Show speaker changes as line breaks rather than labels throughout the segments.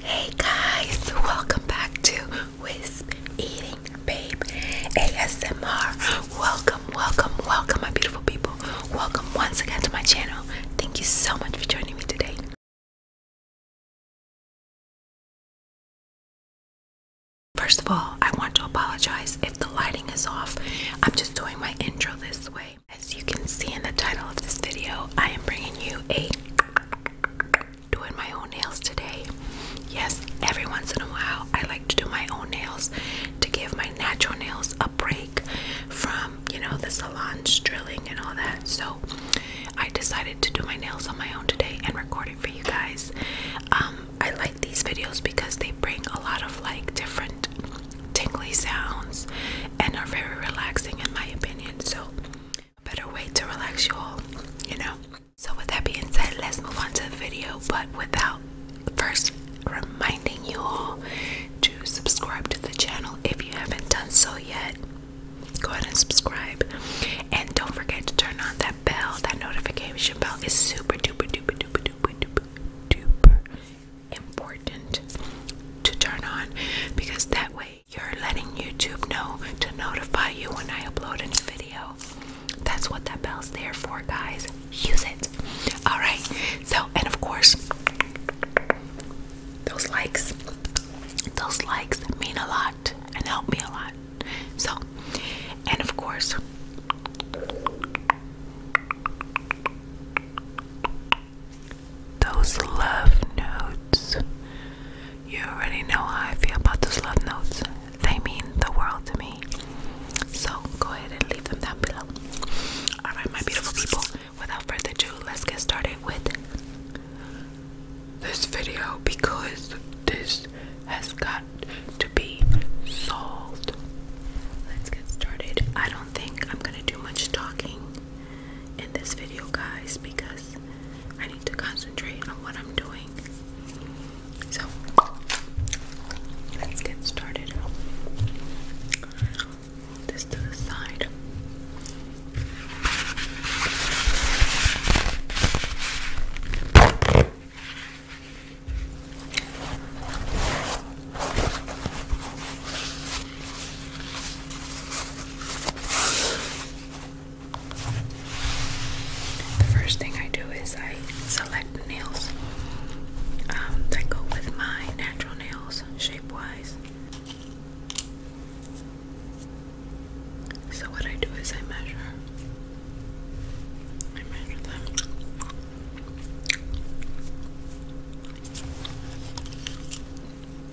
Hey guys, welcome back to Wisp Eating Babe ASMR. Welcome, welcome, welcome, my beautiful people. Welcome once again to my channel. Thank you so much for joining me today. First of all, I want to apologize if the lighting is off. I'm just doing my intro this way. As you can see in the title of this video, I am bringing you a doing my own nails today. Yes, every once in a while I like to do my own nails to give my natural nails a break from, you know, the salon's drilling and all that. So I decided to do my nails on my own today and record it for you guys. Um, I like these videos because they bring a lot of like different tingly sounds and are very relaxing in my opinion. So better way to relax you all, you know. So, with that being said, let's move on to the video, but without first reminding you all to subscribe to the channel if you haven't done so yet. Go ahead and subscribe, and don't forget to turn on that bell. That notification bell is super duper duper duper duper duper duper important to turn on because that way you're letting YouTube know to notify you when I upload a new video. That's what that bell's there for, guys. Use it. Alright, so, and of course, those likes. Those likes mean a lot and help me a lot. So, and of course, those love notes. You already know how I feel about those love notes. They mean the world to me. So go ahead and leave them down below. Alright, my beautiful people, without further ado, let's get started with this video because this has got to be solved. Let's get started. I don't think I'm gonna do much talking in this video, guys, because I need to concentrate on what I'm doing. So, let's get started. This to the side. The first thing I do is I select nails um, that go with my natural nails, shape wise. So, what I do is I measure. I measure them. And I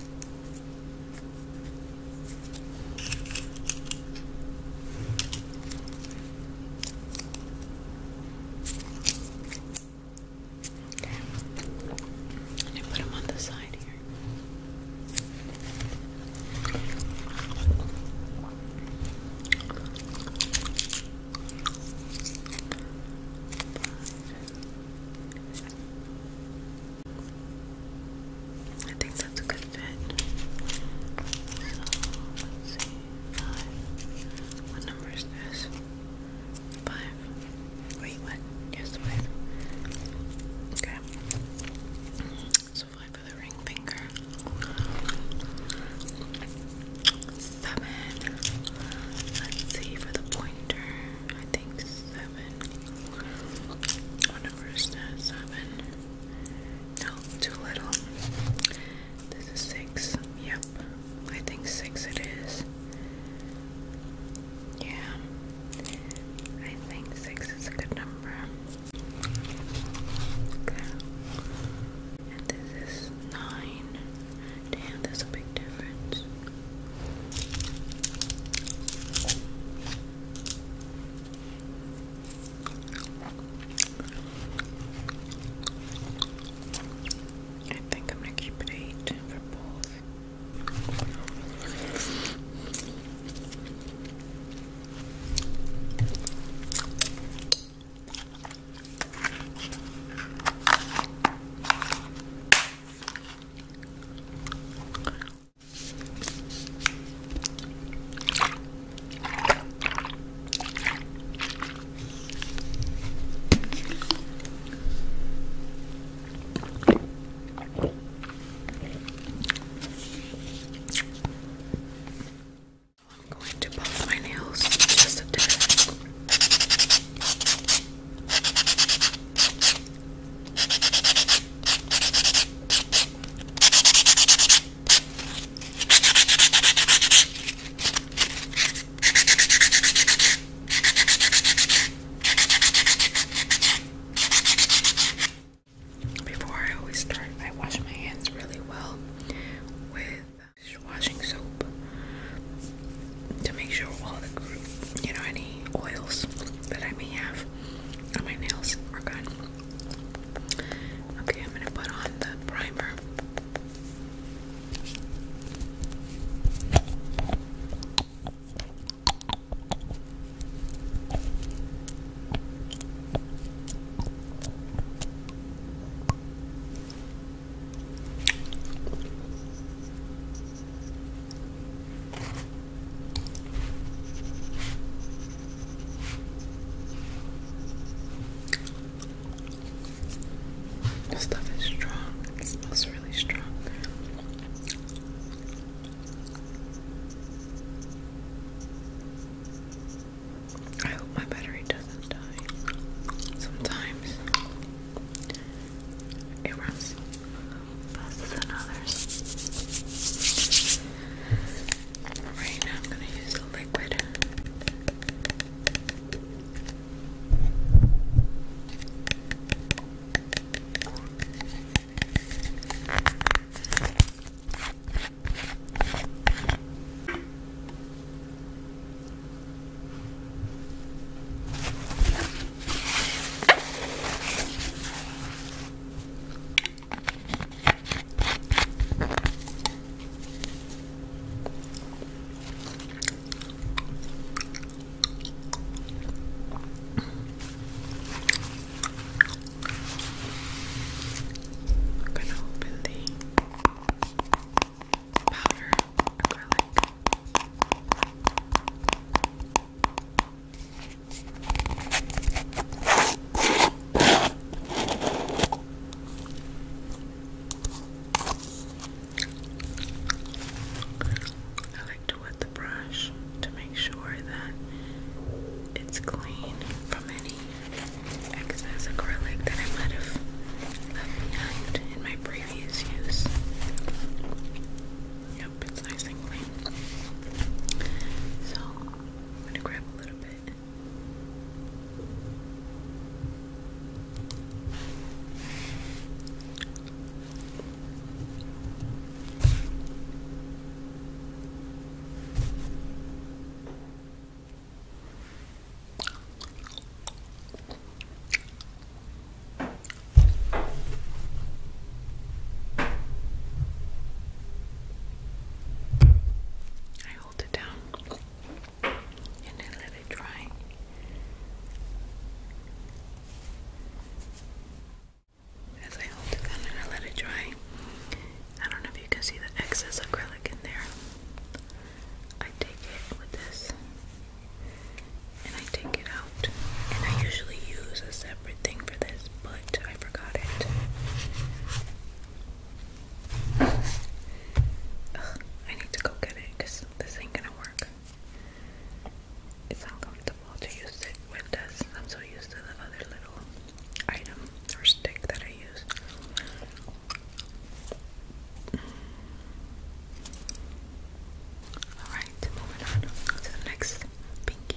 put them on the side here. I think that's a good fit. So Five. What number is this? Five. Wait, what? Yes, five. Okay. So five for the ring finger seven. Let's see for the pointer. I think seven. What oh, number uh, Seven. No, too little. This is six. Yep. I think six it is. Yeah. I think six is a good number. Okay. And this is nine. Damn, that's a big difference. I think I'm gonna keep it eight for both. I'm going to buff my nails just a tad. Before I always start, I wash my hands really well with just washing soap to make sure all the you know, any oils that I may have on my nails are gone. Okay, I'm gonna put on the primer. This stuff is strong. It smells really strong. I hope my battery does Sometimes it runs faster than others. Right now, I'm going to use a liquid. I'm gonna open the powder I like to wet the brush to make sure that it's clean from any excess acrylic that I might have left behind in my previous use. Yep, it's nice and clean. So, I'm going to grab a little bit. I hold it down and then let it dry. As I hold it down and I let it dry, I don't know if you can see the excess acrylic in there. I take it with this and I take it out. And I usually use a separate thing for this, but I forgot it. I need to go get it because this ain't gonna work. It's uncomfortable to use it with this. I'm so used to the other little item or stick that I use. Alright, moving on to the next pinky.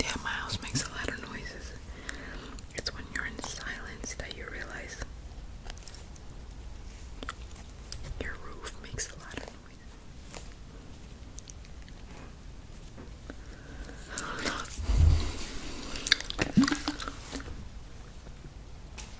Yeah, my house makes a lot of noises. It's when you're in silence that you realize your roof makes a lot of noise.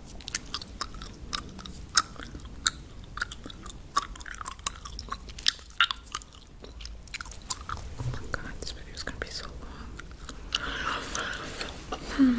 Oh my god, this video is gonna be so long. Hmm.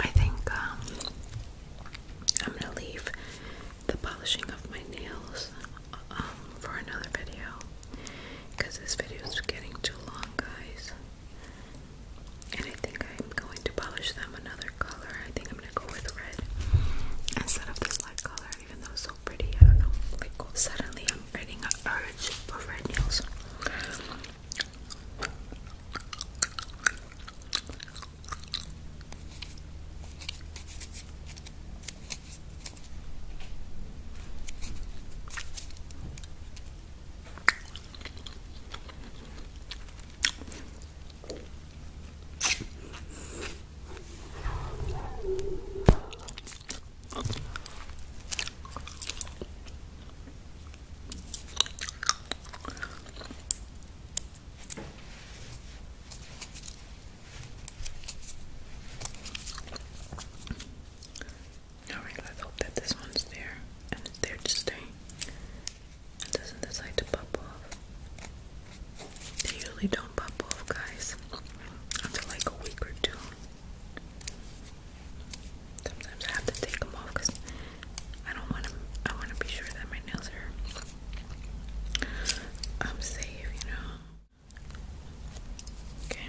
I think um, I'm going to leave the polishing of my nails um, for another video because this video is getting too long, guys. And I think I'm going to polish them another color. I think I'm going to go with red instead of this light color even though it's so pretty. I don't know. Like suddenly I'm getting an urge for red nails. Alright, let's hope that this one's there and it's there to stay. It doesn't decide to pop they usually don't pop off, guys, until like a week or two. Sometimes I have to take them off because I don't want to. I want to be sure that my nails are. I'm um, safe, you know. Okay.